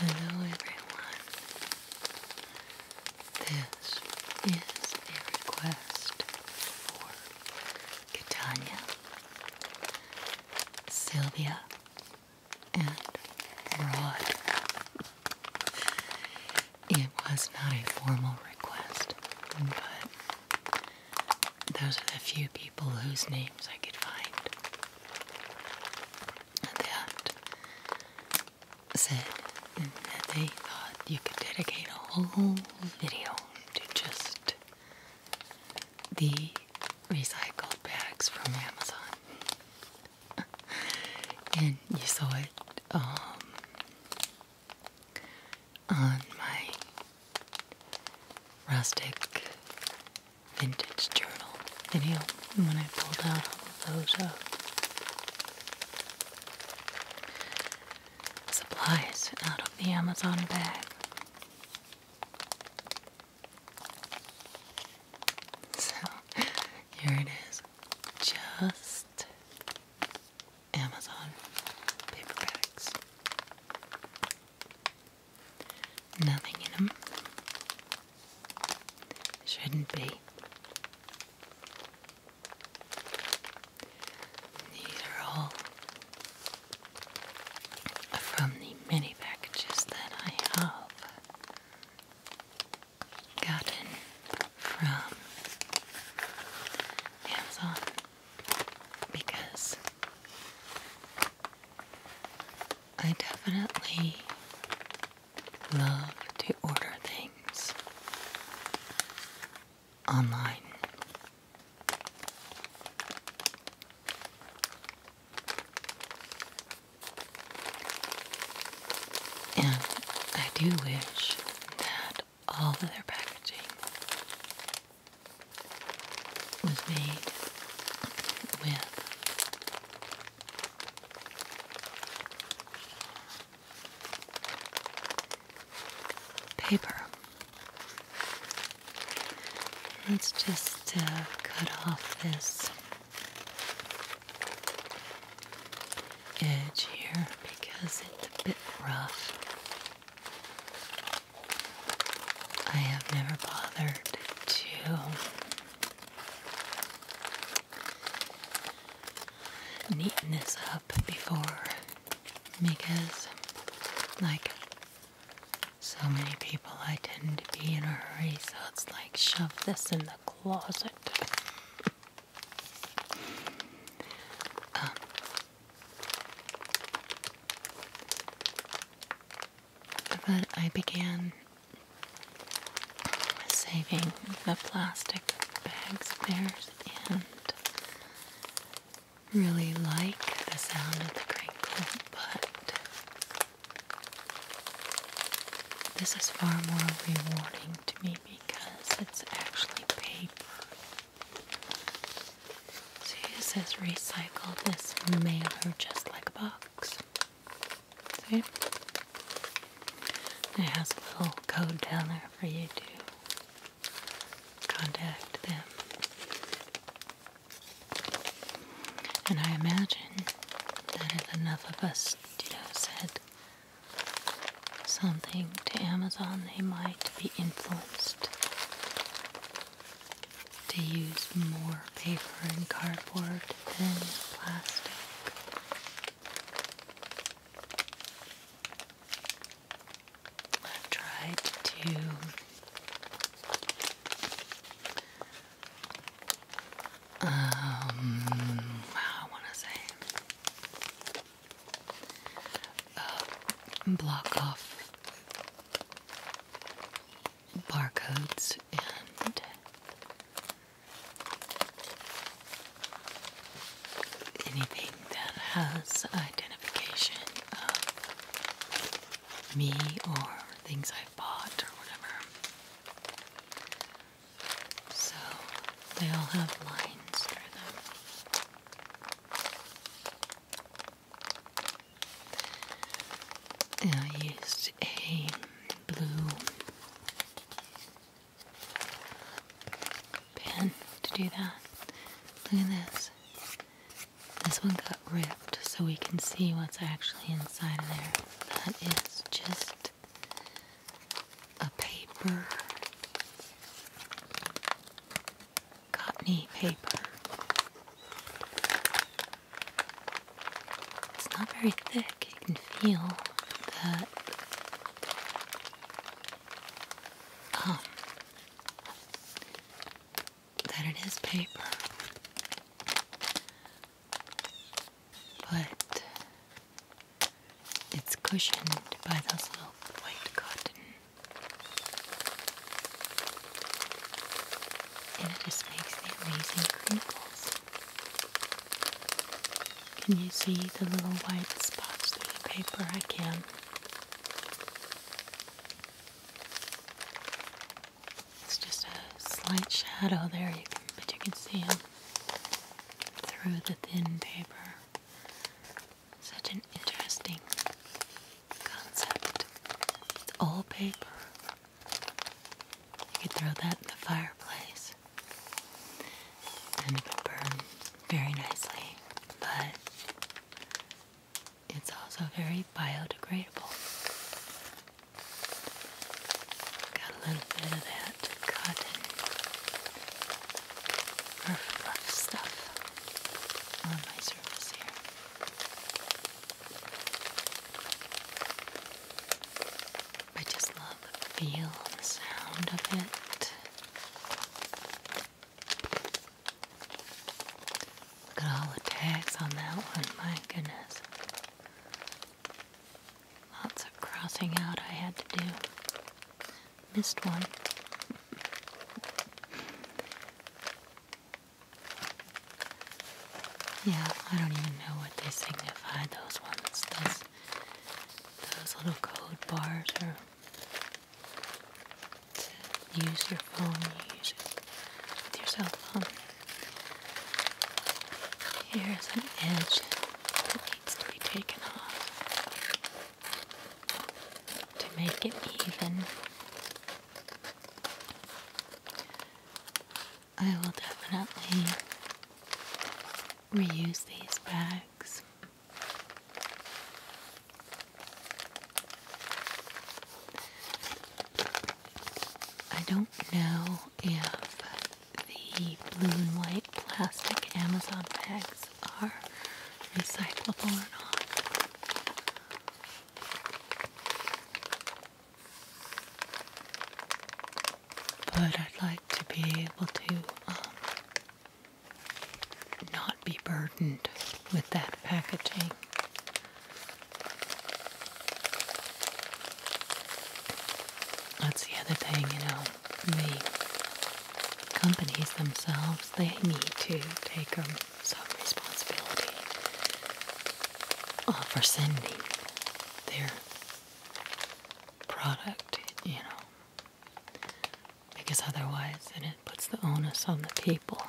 Hello everyone. This is a request for Catania, Sylvia, it was not a formal request, but those are the few people whose names I could find that said that they thought you could dedicate a whole video to just the recycled bags from Amazon. and you saw it um, on my rustic vintage journal video when I pulled out all of those uh, supplies out of the Amazon bag. So here it is, just Amazon paperbacks. Nothing in them. Shouldn't be. These are all from the many packages that I have gotten from Amazon because I definitely love to order things online. And I do wish that all their packaging was made with paper. Let's just cut off this edge here because it's a bit rough. I have never bothered to neaten this up before because, like, so many people. I tend to be in a hurry, so it's like shove this in the closet. Um, but I began saving the plastic bags bears and really like the sound of the crinkle, but this is far more rewarding to me because it's actually paper. See, it says recycle this mailer just like a box. See? It has a little code down there for you to contact them. And I imagine that if enough of us, said something to Amazon, they might be influenced to use more paper and cardboard than plastic. i tried to um, I want to say uh, block off barcodes and anything that has identification of me or things I've bought or whatever. So they all have lines through them. And I used a blue pen to do that. Look at this. This one got ripped so we can see what's actually inside of there that is just a paper, cottony paper. It's not very thick, you can feel that. Um, that it is paper. But it's cushioned by those little white cotton. And it just makes the amazing crinkles. Can you see the little white spots through the paper? I can. It's just a slight shadow there, but you can see him through the thin paper. Such an interesting concept. It's all paper. You could throw that in the fireplace and it burns very nicely, but it's also very biodegradable. Got a little bit of that cotton stuff on my surface here. I just love the feel and the sound of it. Look at all the tags on that one, my goodness. Lots of crossing out I had to do. Missed one. yeah, I don't even know what they signify, those ones. Those, those little code bars are use your phone, you use it with your cell phone. Here's an edge that needs to be taken off to make it even. I will definitely reuse these bags. I don't know if the blue and white plastic Amazon bags are recyclable or not. But I'd like to be able to um, not be burdened with that packaging. That's the other thing, you know, the companies themselves, they need to take some responsibility for sending their product, you know, because otherwise then it puts the onus on the people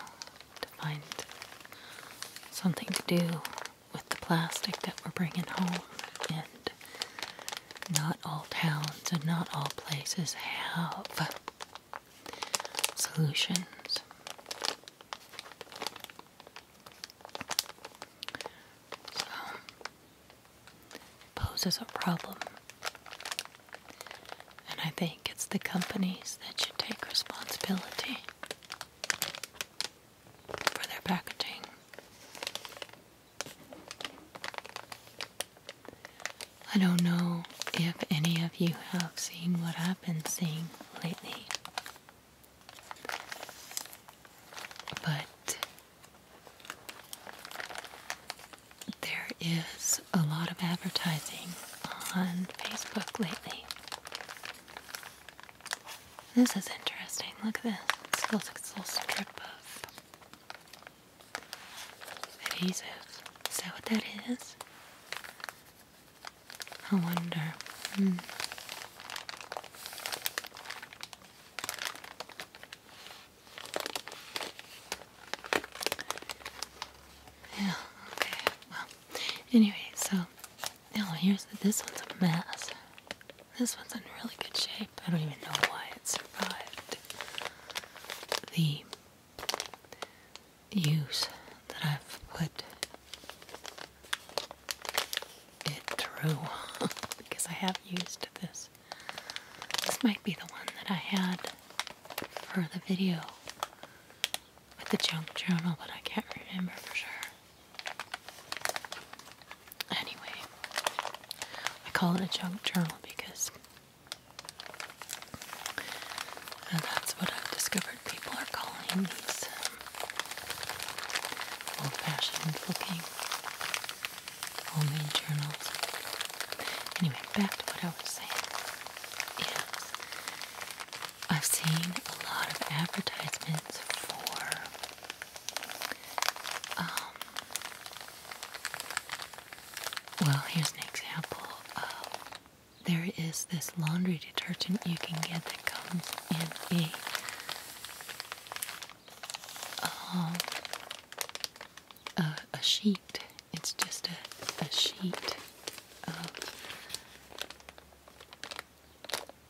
to find something to do with the plastic that we're bringing home, and not all towns and not all places have solutions. So, poses a problem, and I think it's the companies that should take responsibility for their packaging. I don't know if any of you have seen what I've been seeing lately, but there is a lot of advertising on Facebook lately. This is interesting. Look at this. This looks like this little strip of adhesive. Is that what that is? I wonder. Hmm. Yeah, okay. Well, anyway, so now here's this one's a mess. This one's in really good shape. I don't even know why it survived the use that I've put it through because I have used this. This might be the one that I had for the video with the junk journal, but I can't remember for sure. Anyway, I call it a junk journal because that's what I've discovered people are calling these old fashioned looking homemade journals. Anyway, back to what I was saying. Yes, I've seen a lot of advertisements for um, well, here's an example. there is this laundry detergent you can get that comes in a um, a, sheet. It's just a, a sheet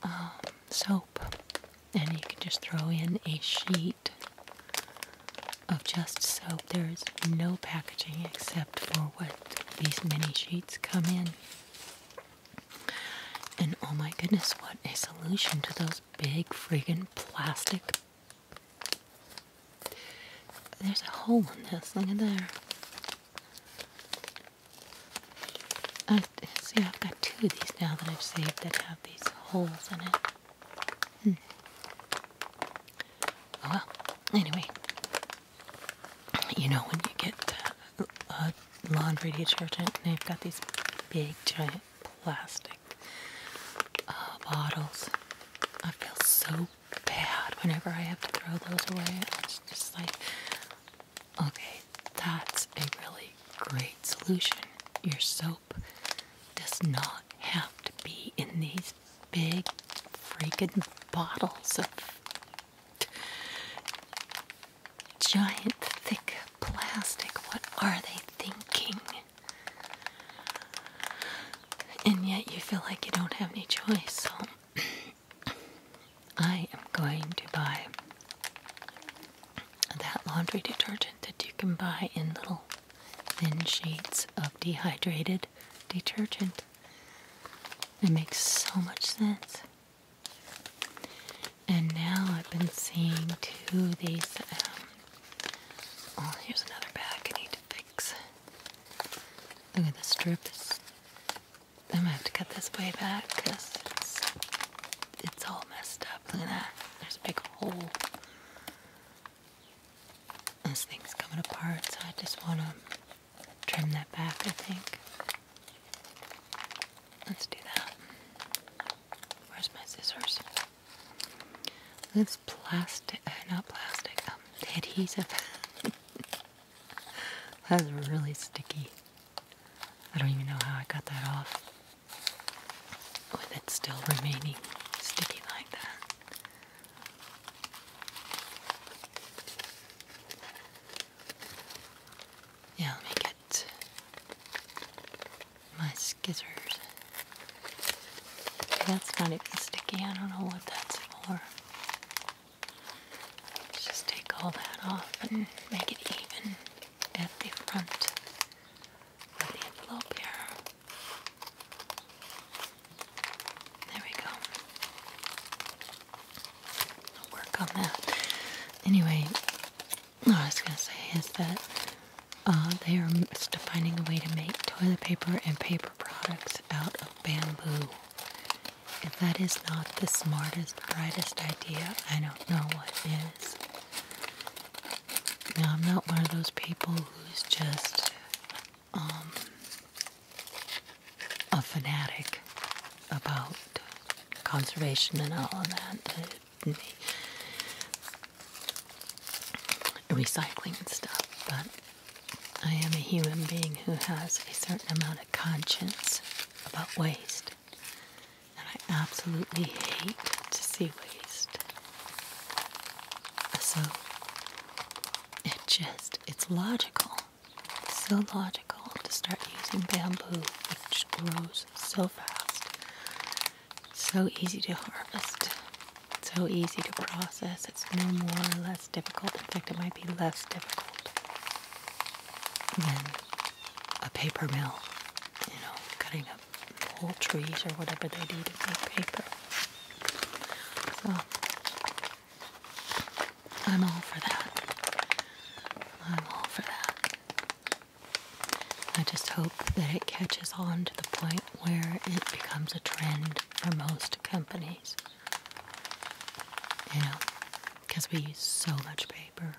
um, soap, and you can just throw in a sheet of just soap. There is no packaging except for what these mini sheets come in. And oh my goodness, what a solution to those big friggin' plastic. There's a hole in this, look at there see I've got two of these now that I've saved that have these holes in it. Hmm. Oh, well, anyway, you know when you get uh, uh, laundry detergent and they've got these big giant plastic uh, bottles. I feel so bad whenever I have to throw those away. It's just like Okay, that's a really great solution. Your soap does not have to be in these big freaking bottles of giant thick plastic. What are they thinking? And yet you feel like you don't have any choice, so I am going to buy that laundry detergent that you can buy in little thin sheets of dehydrated detergent. It makes so much sense. And now I've been seeing two of these. Um, oh, here's another bag I need to fix. Look at the strips. I'm gonna have to cut this way back because it's, all messed up. Look at that. There's a big hole. This thing's coming apart, so I just want to trim that back, I think. Let's do that. Where's my scissors? This plastic, uh, not plastic, um, adhesive. That's really sticky. I don't even know how I got that off with it still remaining sticky like that. Yeah, let me get my scissors. That's not even sticky. I don't know what that's for. just take all that off and make it even at the front the envelope There we go. work on that. Anyway, I was going to say is that uh, they are finding a way to make toilet paper and paper products out of bamboo. If that is not the smartest, brightest idea, I don't know what is. Now, I'm not one of those people who's just um, a fanatic about conservation and all of that, and recycling and stuff, but I am a human being who has a certain amount of conscience about waste and I absolutely hate to see waste. So it just, it's logical. It's so logical to start using bamboo, which grows so fast, so easy to harvest, so easy to process. It's no more or less difficult. In fact, it might be less difficult than a paper mill, you know, cutting up whole trees or whatever they need to make paper. So I'm all for that. I'm all for that. I just hope that it catches on to the point where it becomes a trend for most companies. You know, because we use so much paper.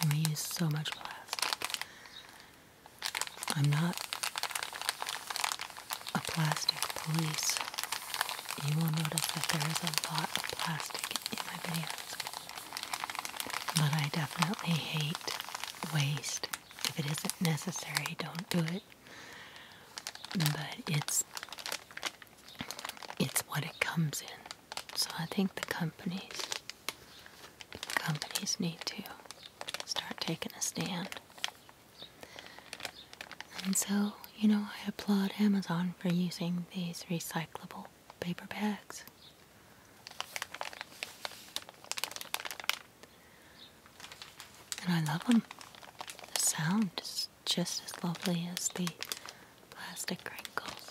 And we use so much plastic. I'm not a plastic police. You will notice that there is a lot of plastic in my videos. But I definitely hate waste. If it isn't necessary, don't do it. But it's it's what it comes in. So I think the companies companies need to start taking a stand. And so, you know, I applaud Amazon for using these recyclable paper bags. And I love them. The sound is just as lovely as the plastic crinkles.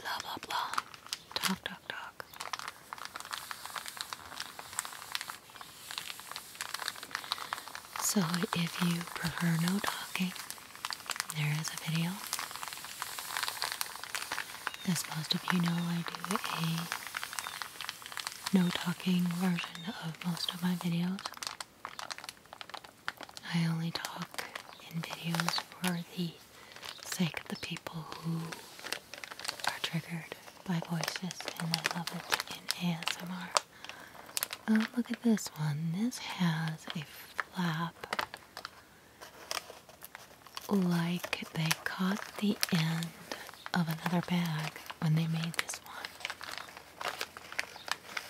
Blah, blah, blah. Talk, talk, talk. So, if you prefer no talking, there is a video. As most of you know, I do a no talking version of most of my videos. I only talk in videos for the sake of the people who are triggered by voices and I love it in ASMR. Oh, look at this one. This has a flap like they caught the end of another bag when they made this one.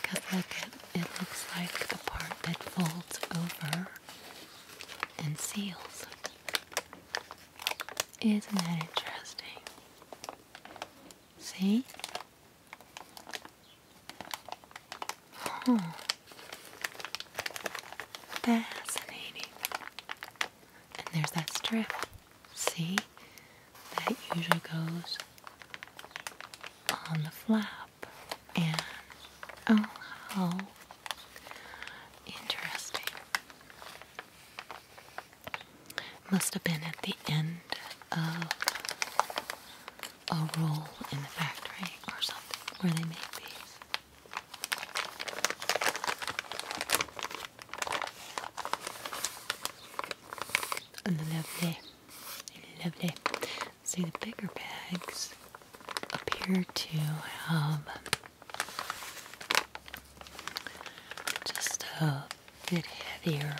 Because look, it, it looks like the part that folds over and seals. Isn't that interesting? See? Huh. Fascinating. And there's that strip. See? that usually goes on the flap. And oh, how interesting. Must have been at the end of a roll in the factory or something where they make these. And then Lovely. See the bigger bags appear to have just a bit heavier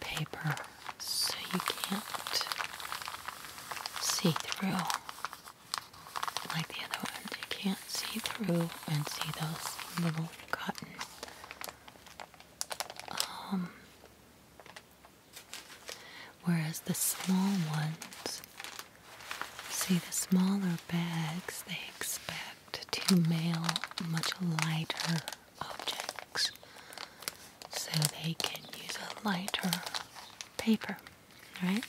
paper so you can't see through. Like the other ones, you can't see through and see those little cotton um, Whereas the small ones, see the smaller bags, they expect to mail much lighter objects so they can use a lighter paper, right?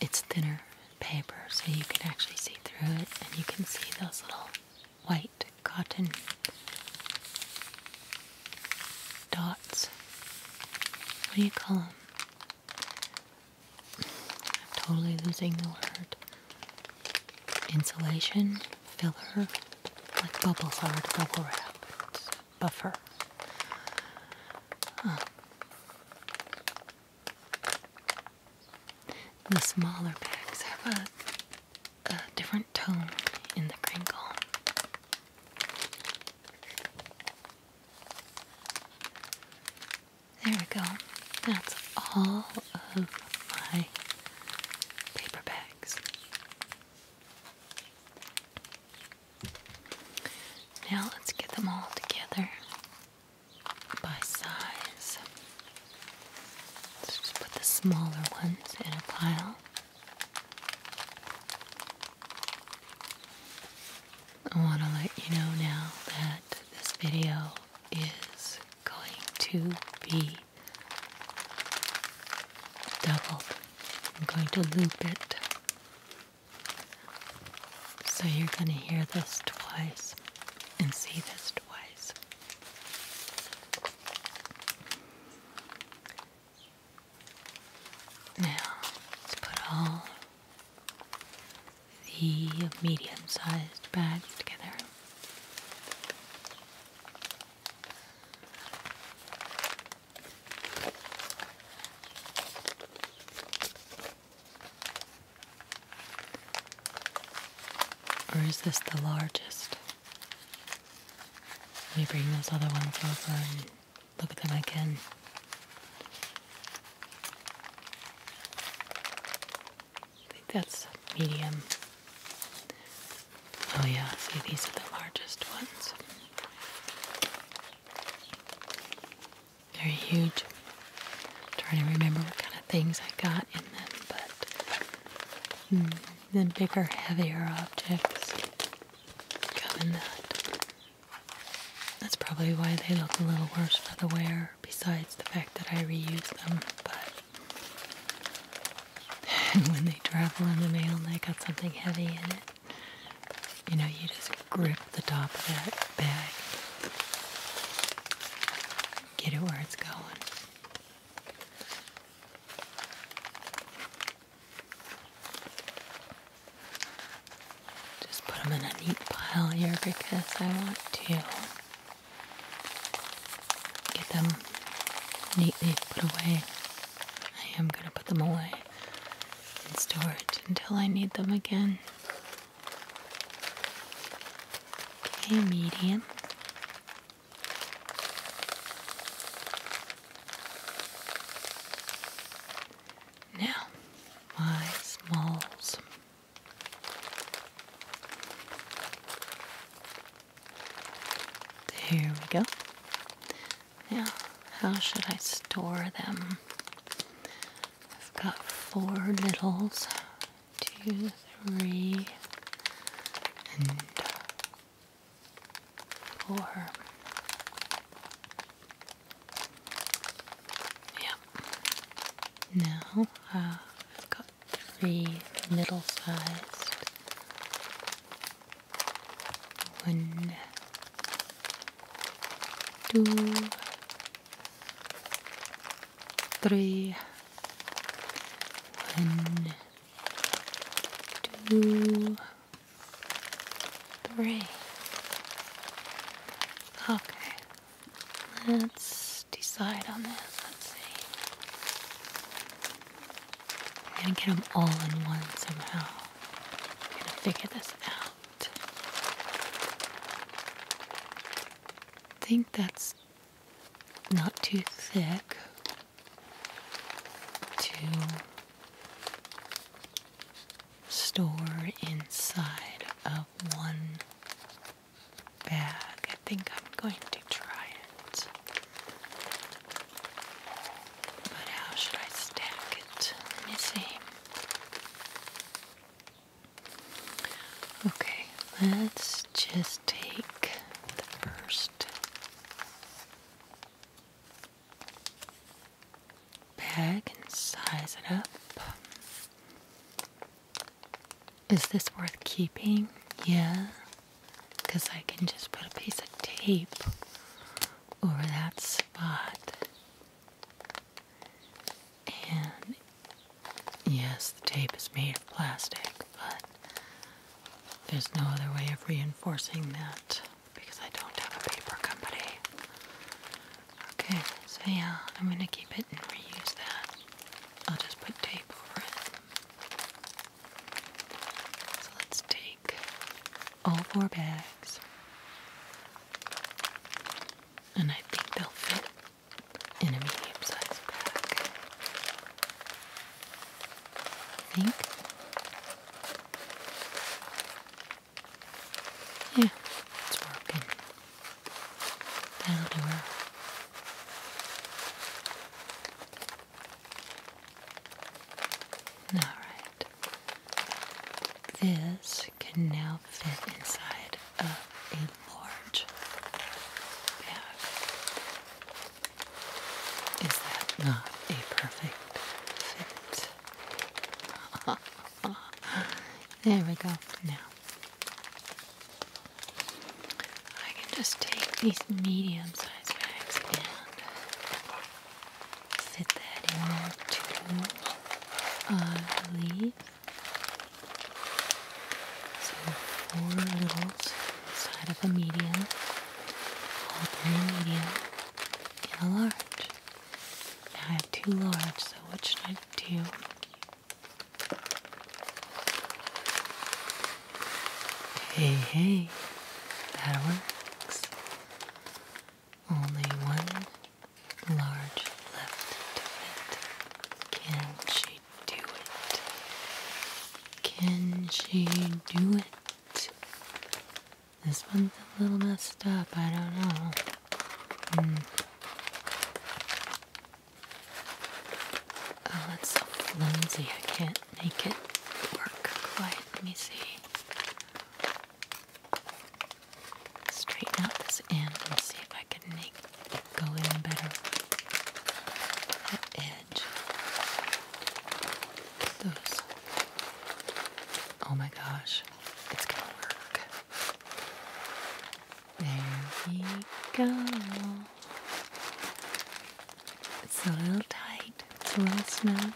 It's thinner paper, so you can actually see through it, and you can see those little white cotton dots. What do you call them? I'm totally losing the word. Insulation, filler, like bubbles are bubble wrap. buffer. Um, the smaller bags have a, different tone in the crinkle. There we go. That's all of my paper bags. Now let's get them all together by size. Let's just put the smaller ones in a pile. I want to let you know now that this video is going to be doubled. I'm going to loop it. So you're going to hear this twice and see this twice. Now, let's put all the medium sized bags together. Or is this the largest? Let me bring those other ones over and look at them again. I think that's medium. Oh yeah, see these are the largest ones. They're huge trying to remember what kind of things I got in them, but hmm, then bigger, heavier objects come that. That's probably why they look a little worse for the wear, besides the fact that I reuse them, but when they travel in the mail and they got something heavy in it, you know, you just grip the top of that bag get it where it's going. Just put them in a neat pile here because I want to get them neatly put away. I am going to put them away in storage until I need them again. Okay, medium, now my smalls. There we go. Now, how should I store them? I've got four littles two, three, and four. Yep. Now I've got three middle sized. One, two, three, one, two, three. Okay, let's decide on this. Let's see. I'm gonna get them all in one somehow. I'm gonna figure this out. think that's not too thick to store inside of one bag. I think I'm going to try it. But how should I stack it? Let me see. Okay, let's just take the first bag and size it up. Is this worth keeping? Yeah, because I can just put a piece of tape over that spot and Yes, the tape is made of plastic, but there's no other way of reinforcing that because I don't have a paper company. Okay, so yeah, I'm gonna keep it and reuse that. I'll just put tape over it. So let's take all four bags. And I think they'll fit in a medium sized bag, I think. Yeah, it's working. That'll do it. Alright. This can now fit inside uh, a large bag. Is that not a perfect fit? there we go. Now, I can just take these medium sized bags and fit that in there too, so four little, side of a medium, all medium, and a large. Now I have two large, so what should I do? Hey, hey, that works. Only one large left to fit. Can she do it? Can she do it? This one's a little messed up. I don't know. Hmm. Oh, that's so flimsy. I can't make it work quite. Let me see. Straighten out this end and see if I can make go in better the edge. Those. Oh my gosh, it's gonna work. There we go. It's a little tight, it's a little snug,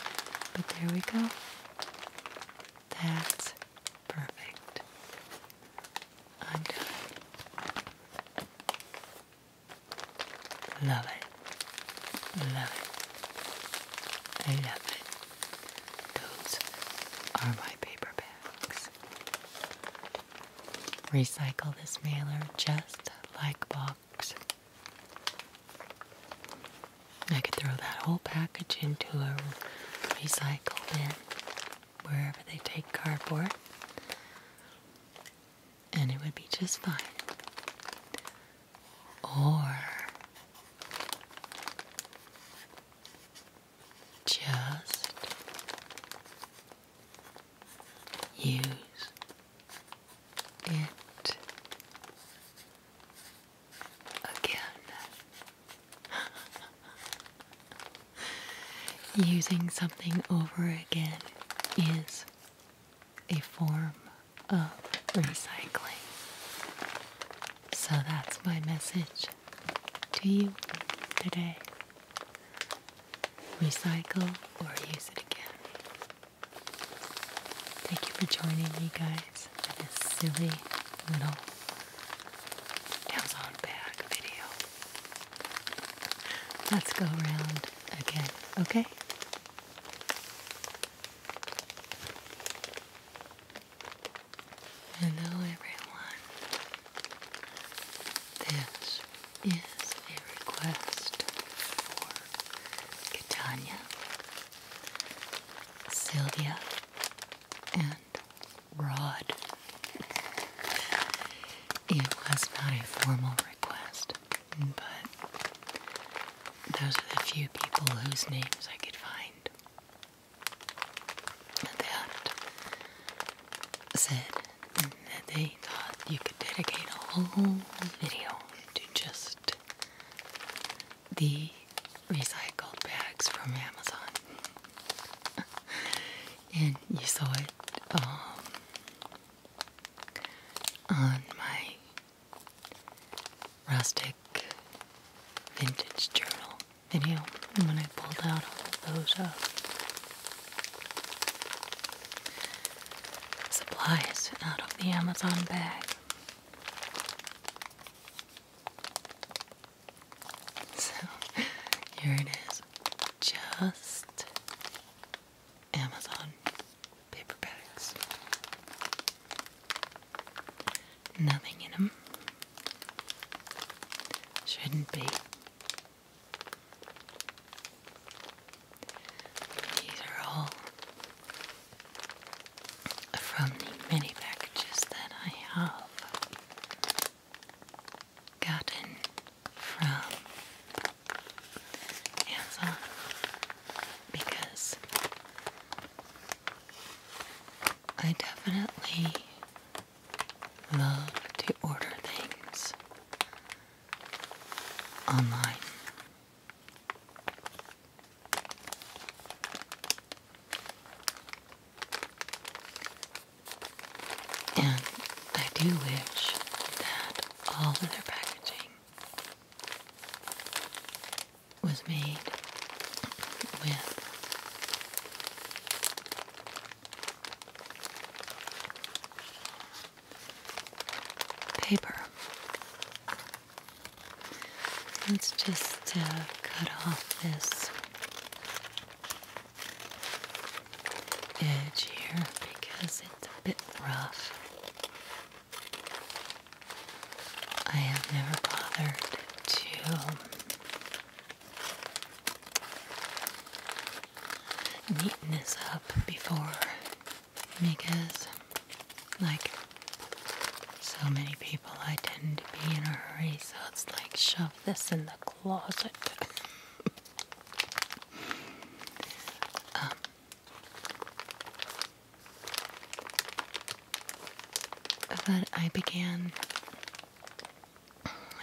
but there we go. That's perfect. i Love it. Love it. I love it. Those are my paper bags. Recycle this mailer just like box. I could throw that whole package into a recycle bin wherever they take cardboard and it would be just fine. Or just use it again. Using something over again is a form of recycling. So that's my message to you today. Recycle or use it again. Thank you for joining me, guys, for this silly little Amazon bag video. Let's go around again, okay? Hello, everyone. This is a request for Catania, Sylvia, and Rod. It was not a formal request, but those are the few people whose names I could find that said that they thought you could dedicate a whole video to just the recycled bags from Amazon. and you saw it um, on my rustic vintage journal video when I pulled out all of those uh, supplies out of the Amazon bag. So here it is, just Amazon paperbacks. Nothing in them. Shouldn't be. These are all from the mini packages that I have gotten from Amazon because I definitely love to order things online. And I do wish that all of their packaging was made with paper. Let's just cut off this edge here because it's a bit rough. I have never bothered to um, neatness up before because, like so many people, I tend to be in a hurry, so it's like shove this in the closet. Um, but I began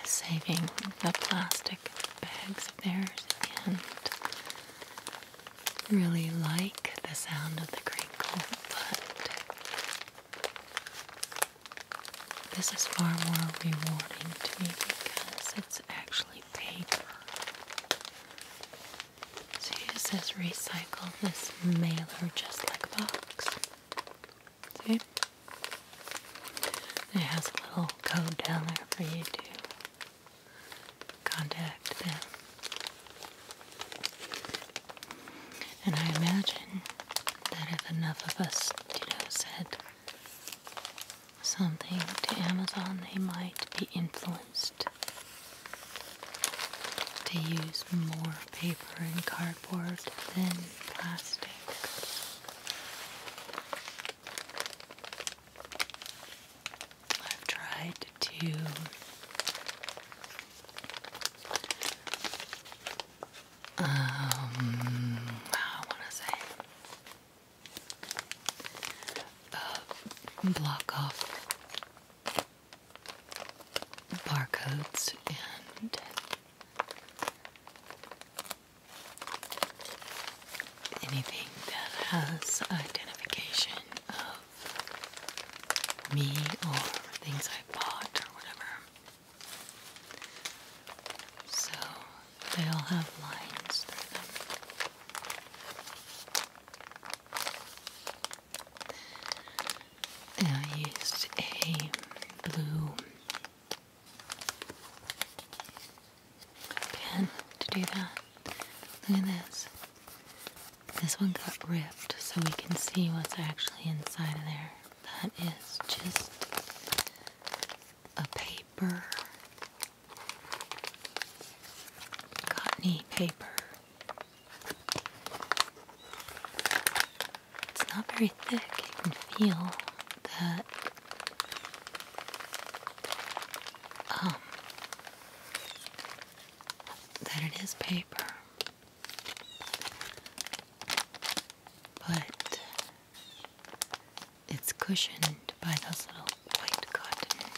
saving the plastic bags of theirs and really like the sound of the crinkle, but this is far more rewarding to me because it's actually paper. So you just says recycle this mailer just like a box. See? It has a little code down there for you to contact them. And I imagine that if enough of us, you know, said something to Amazon, they might be influenced to use more paper and cardboard than plastic. I've tried to um, I want to say block off barcodes and anything that has identification of me or things I bought or whatever. So they all have lines through them. I used a blue pen to do that. Look at this. This one got ripped so we can see what's actually inside there. That is just a paper cottony paper. It's not very thick, you can feel that um, that it is paper. But it's cushioned by those little white cottons,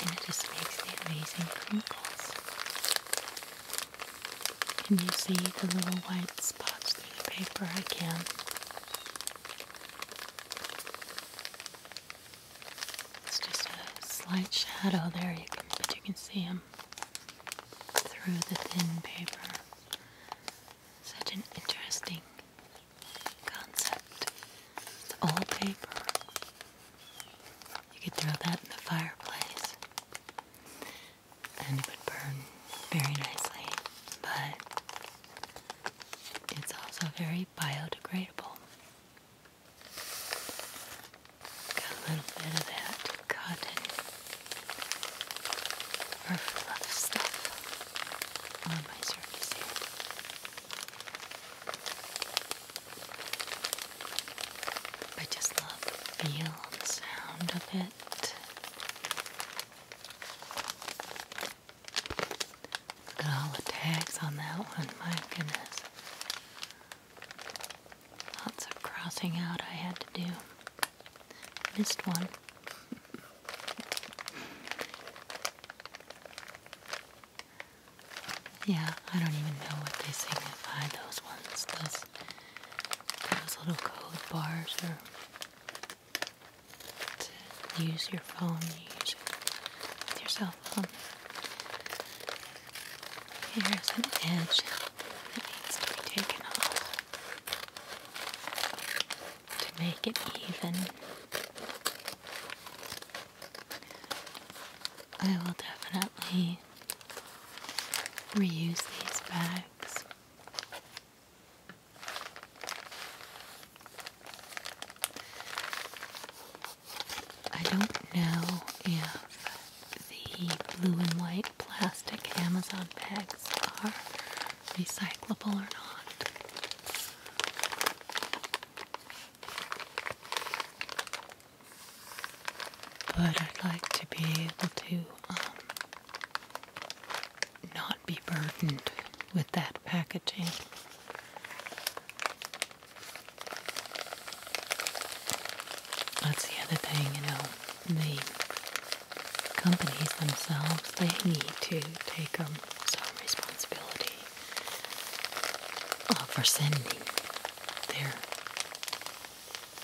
And it just makes the amazing crinkles. Can you see the little white spots through the paper? I can. It's just a slight shadow there, you can, but you can see them through the thin paper. Such an interesting concept. It's old paper. You could throw that in the fireplace and it would burn very nicely, but it's also very biodegradable. Got a little bit of that cotton or fluff stuff on my surface I just love the feel and sound of it. Look at all the tags on that one, my goodness. Lots of crossing out I had to do. Missed one. yeah, I don't even know what they signify, those ones. Those, those little code bars are use your phone, use your cell phone. Here's an edge that needs to be taken off to make it even. I will definitely reuse these bags. I don't know if the blue and white plastic Amazon bags are recyclable or not. But I'd like to be able to um, not be burdened with that packaging. That's the other thing, you know, me companies themselves, they need to take um, some responsibility uh, for sending their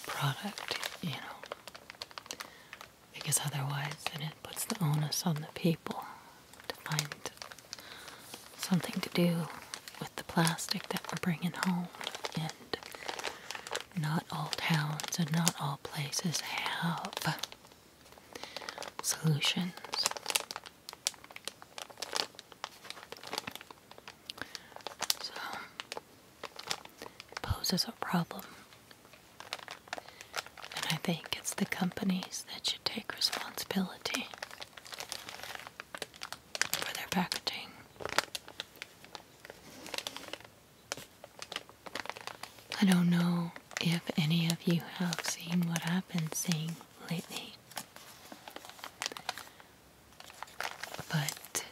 product, you know, because otherwise then it puts the onus on the people to find something to do with the plastic that we're bringing home and not all towns and not all places have solutions. So, it poses a problem. And I think it's the companies that should take responsibility for their packaging. I don't know if any of you have seen what I've been seeing lately, but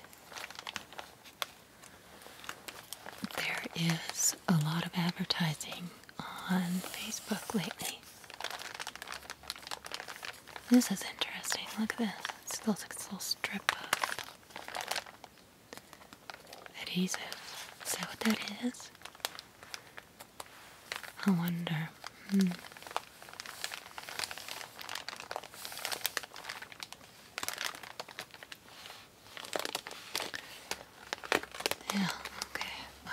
there is a lot of advertising on Facebook lately. This is interesting. Look at this. It's still, it's still stripped up. That is. Is that what that is? I wonder. Hmm. Yeah, okay. Well,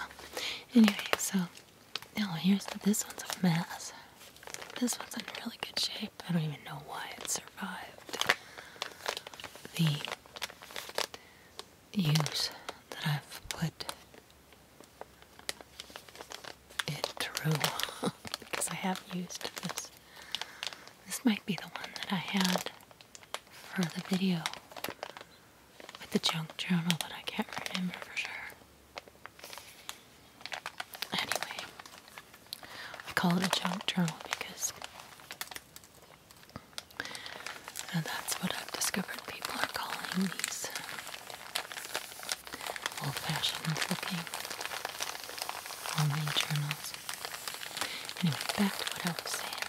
anyway, so now here's this one's a mess. This one's in really good shape. I don't even know why it's the use that I've put it through because I have used this. This might be the one that I had for the video with the junk journal, but I can't remember for sure. Anyway, I call it a junk journal because and that's what I've discovered people are calling these old fashioned looking homemade journals. Anyway, back to what I was saying.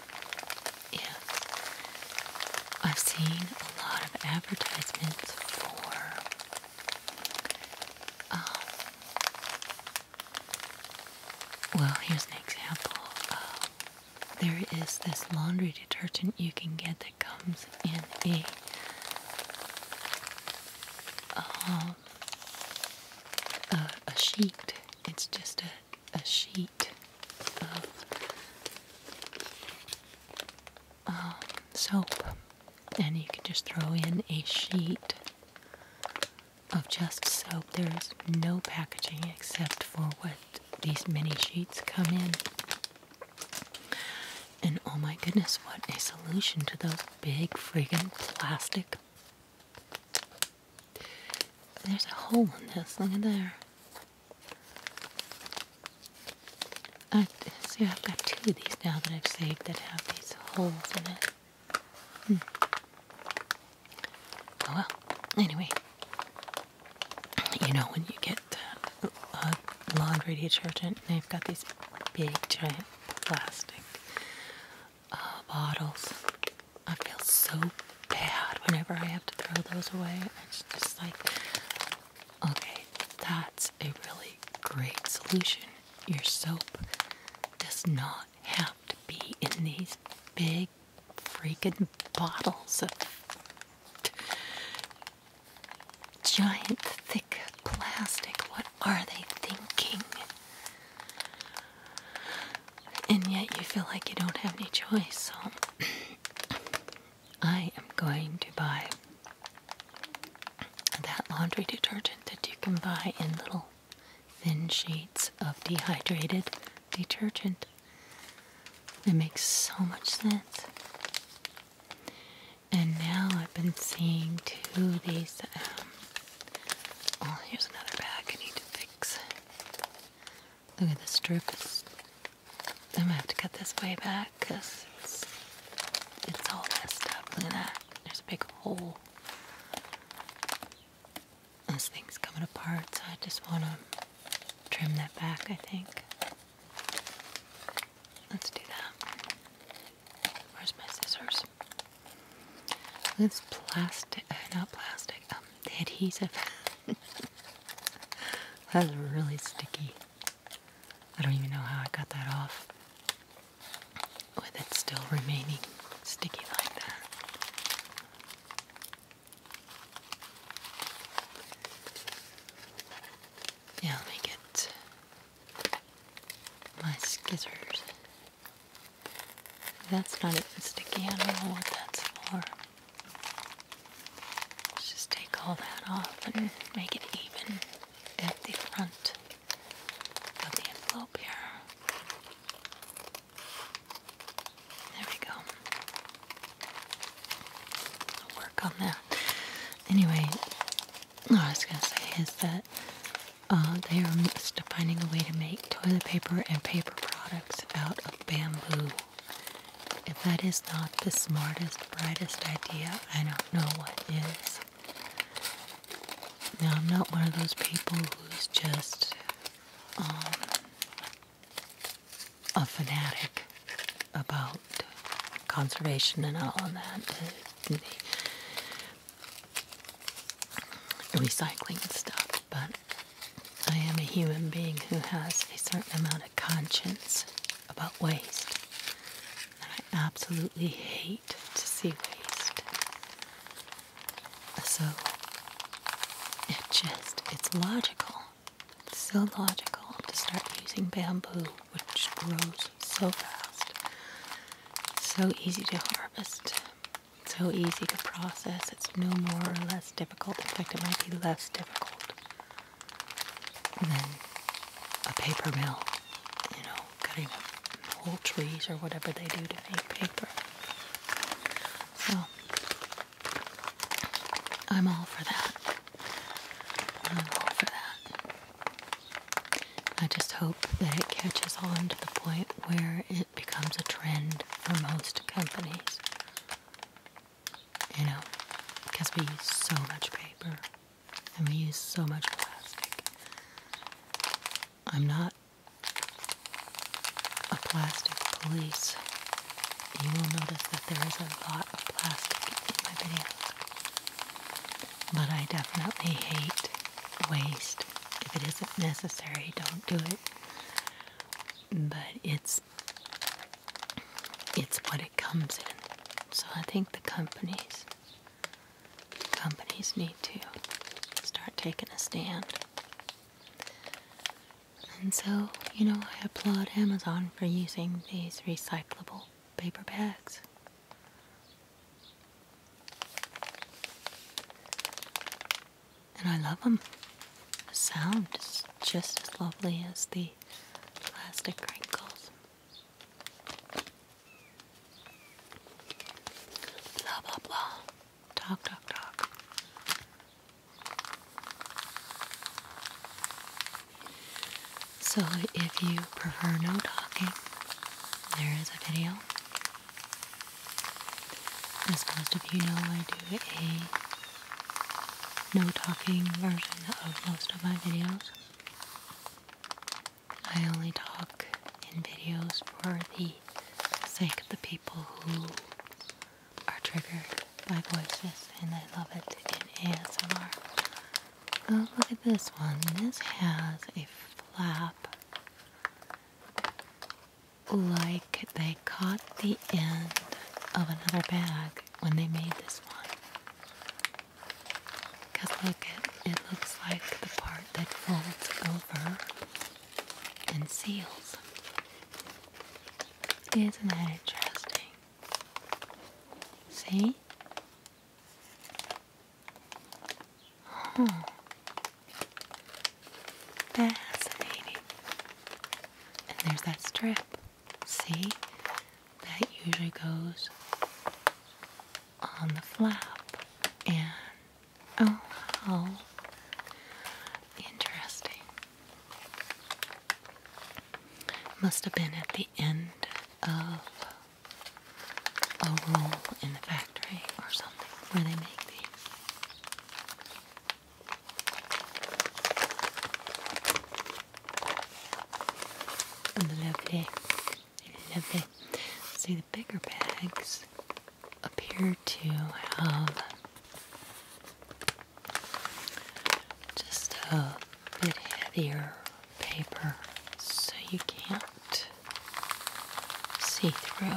Yeah. I've seen a lot of advertisements for um, well, here's an example. there is this laundry detergent you can get that comes in a um, a, sheet. It's just a, a sheet of um, soap, and you can just throw in a sheet of Just Soap. There's no packaging except for what these mini sheets come in. And oh my goodness, what a solution to those big friggin' plastic. There's a hole in this, look at there. I see I've got two of these now that I've saved that have these holes in it. Hmm. Oh, well. Anyway, you know when you get uh, laundry detergent, they've got these big giant plastic uh, bottles. I feel so bad whenever I have to throw those away. It's just like, okay, that's a really great solution. Your soap does not have to be in these big freaking bottles of giant thick plastic. What are they thinking? And yet you feel like you don't have any choice, so I am going to buy that laundry detergent that you can buy in little thin sheets of dehydrated detergent. It makes so much sense. And now I've been seeing two of these. Um, oh, here's another bag I need to fix. Look at this strip. I'm gonna have to cut this way back because it's all messed up. Look at that. There's a big hole this thing's coming apart, so I just want to trim that back, I think. Let's do that. Where's my scissors? It's plastic, uh, not plastic, um, adhesive. That's really sticky. I don't even know how I got that off with it still remaining sticky like that. Yeah, let me get my scissors. That's not even sticky. I don't know what that's for. Let's just take all that off and make it even at the front of the envelope here. There we go. work on that. Anyway, what I was going to say is that uh, they are finding a way to make toilet paper and paper products out of bamboo. If that is not the smartest, brightest idea, I don't know what is. Now, I'm not one of those people who's just um, a fanatic about conservation and all of that, recycling and stuff, but I am a human being who has a certain amount of conscience about waste. And I absolutely hate to see waste. So it just, it's logical. so logical to start using bamboo, which grows so fast, so easy to harvest, so easy to process. It's no more or less difficult. In fact, it might be less difficult than a paper mill, you know, cutting up whole trees or whatever they do to make paper. So oh. I'm all for that. I'm all for that. I just hope that it catches on to the point where it becomes a trend for most companies. You know, because we use so much paper and we use so much plastic. I'm not a plastic police, you will notice that there is a lot of plastic in my videos. But I definitely hate waste. If it isn't necessary, don't do it. But it's it's what it comes in. So I think the companies companies need to start taking a stand. And so, you know, I applaud Amazon for using these recyclable paper bags. And I love them. The sound is just as lovely as the plastic wrinkles. Blah blah blah. Talk, talk, talk. So, if you prefer no talking, there is a video. As most of you know, I do a no talking version of most of my videos. I only talk in videos for the sake of the people people who are triggered by voices, and I love it in ASMR. Oh, look at this one. This has a flap like they caught the end of another bag when they made this one. Because look, it looks like the part that folds over and seals. Isn't that interesting? See? Fascinating. And there's that strip. See? That usually goes on the flap and Oh, wow. Interesting. Must have been at the end of a roll in the factory or something where they make the Lovely, lovely. See the bigger bags appear to have just a bit heavier paper so you can't see through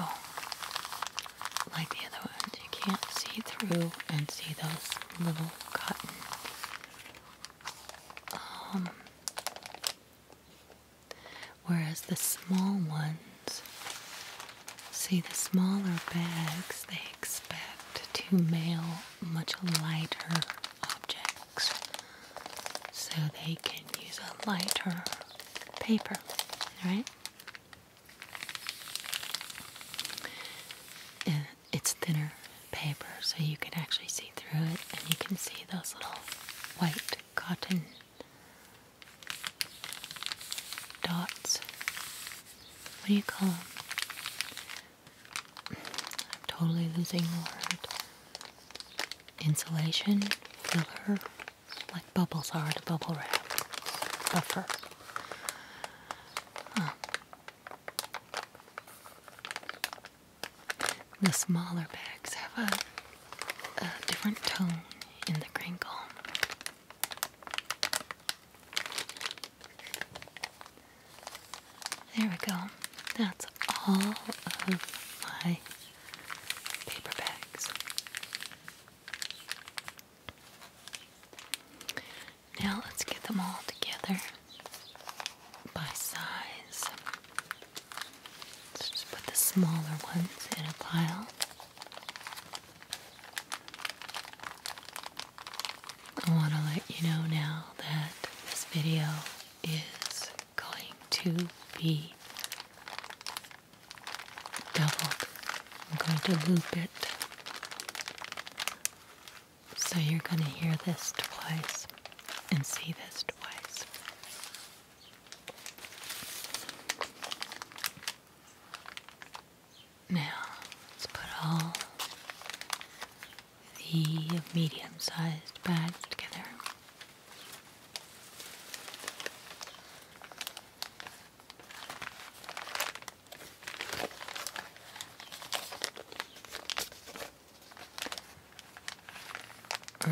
like the other ones. You can't see through and see those little cotton um, Whereas the small ones, see the smaller bags, they expect to mail much lighter objects so they can use a lighter paper, right? It's thinner paper, so you can actually see through it, and you can see those little white cotton dots. What do you call them? I'm totally losing the word. Insulation, filler, like bubbles are to bubble wrap, buffer. Huh. The smaller bags have a a different tone in the crinkle. There we go. That's all of my paper bags. Now let's get them all together by size. Let's just put the smaller ones in a pile. I want to let you know now that this video is going to be doubled. I'm going to loop it. So you're going to hear this twice and see this twice. Now, let's put all the medium sized bags together.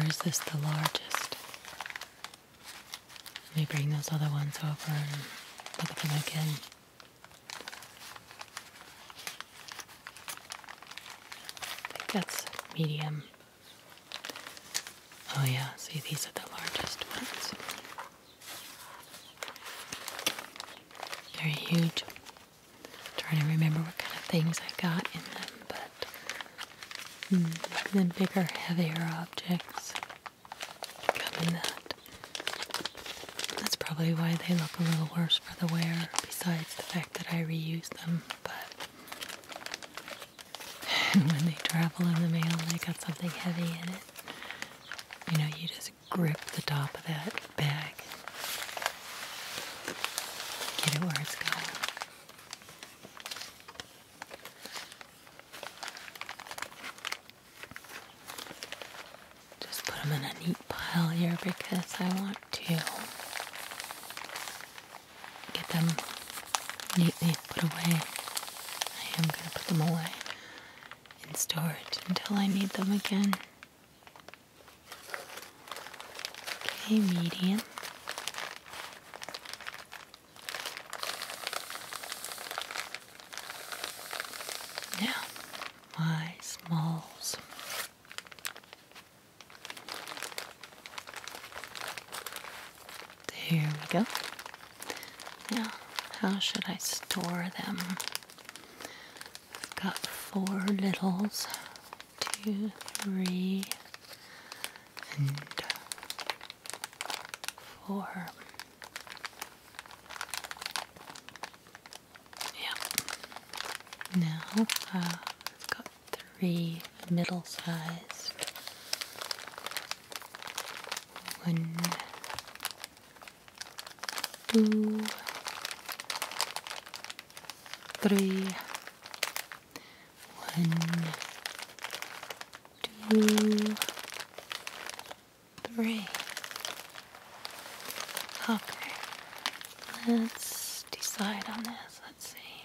Or is this the largest? Let me bring those other ones over and look at them again. I think that's medium. Oh yeah, see these are the largest ones. They're huge. trying to remember what kind of things I got in them, but hmm, then bigger, heavier objects come that. That's probably why they look a little worse for the wear, besides the fact that I reuse them. But when they travel in the mail, they got something heavy in it. You know, you just grip the top of that bag, get it where it's going. Just put them in a neat pile here because I want to get them neatly put away. I am going to put them away in storage until I need them again. Okay, medium. Now, my smalls. There we go. Now, how should I store them? I've got four littles, two, three, and Four. yeah now uh, it's got three middle-sized one two three one two, three. Okay, let's decide on this. Let's see.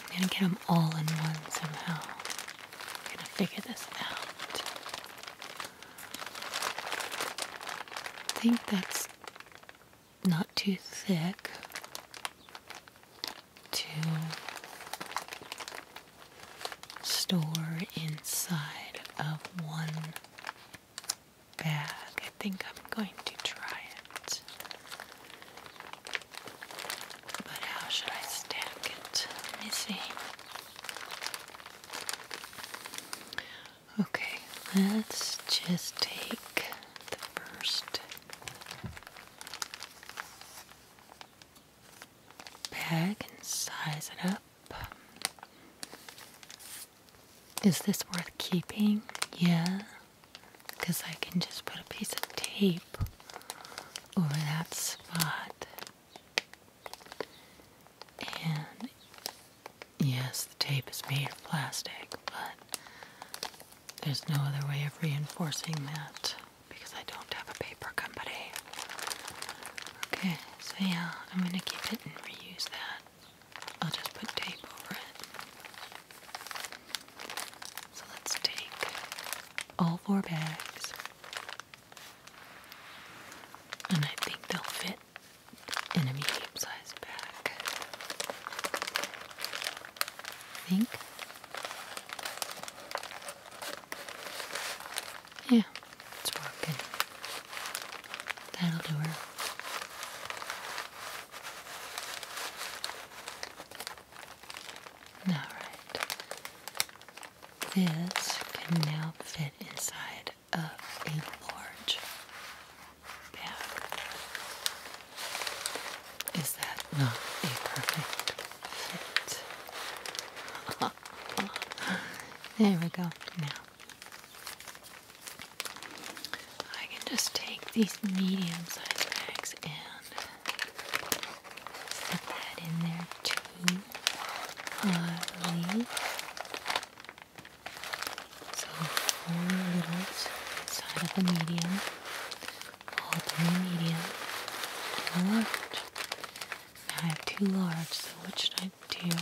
I'm gonna get them all in one somehow. I'm gonna figure this out. I think that's not too thick to store inside of one bag. I think I'm going to try it. But how should I stack it? Let me see. Okay, let's just take the first bag and size it up. Is this worth keeping? Yeah, because I can just put a piece of tape over that spot. And yes, the tape is made of plastic, but there's no other way of reinforcing that because I don't have a paper company. Okay, so yeah, I'm gonna keep it and reuse that. I'll just put tape over it. So let's take all four bags. And I think they'll fit in a medium sized bag. I think yeah, it's working. That'll do her. Alright. This can now fit inside of a large bag. Is that not a perfect fit? there we go. Now, I can just take these medium sized bags and put that in there too, So, four little side of the medium. Ultimate medium and large. I have two large, so what should I do?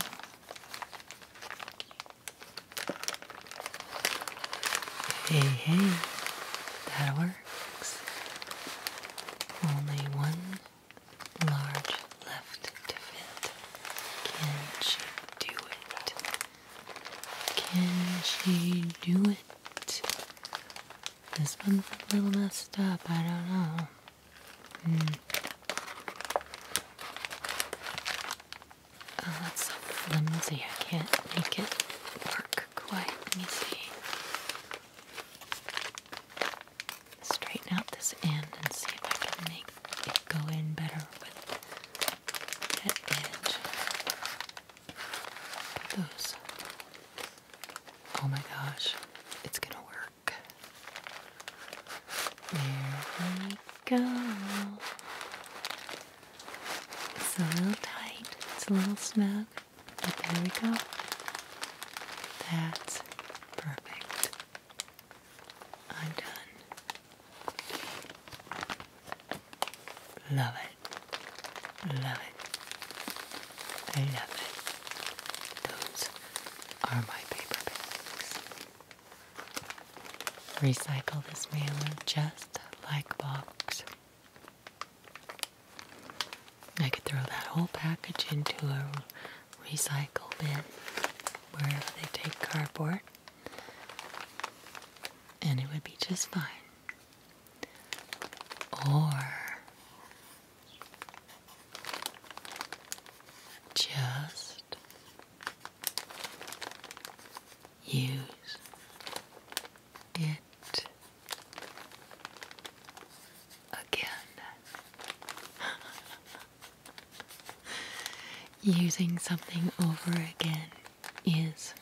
Hey, hey, that works. Only one large left to fit. Can she do it? Can she do it? This one's a little messed up. I don't know. Hmm. Oh, that's flimsy. I can't make it work quite. Let me see. Straighten out this end and see if I can make it go in better with that edge. Those. Oh my gosh, it's gonna work. There we go. It's a little tight, it's a little snug, but there we go. That's perfect. I'm done. Love it. Love it. I love it. Those are my paper bags. Recycle this mailer just like box. I could throw that whole package into a recycle bin wherever they take cardboard, and it would be just fine or just use it again. Using something over again is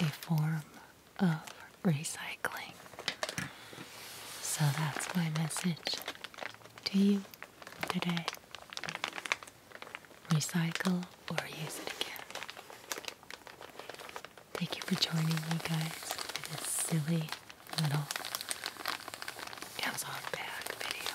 a form of recycling. So that's my message to you today. Recycle or use it again. Thank you for joining me, guys, for this silly little Amazon bag video.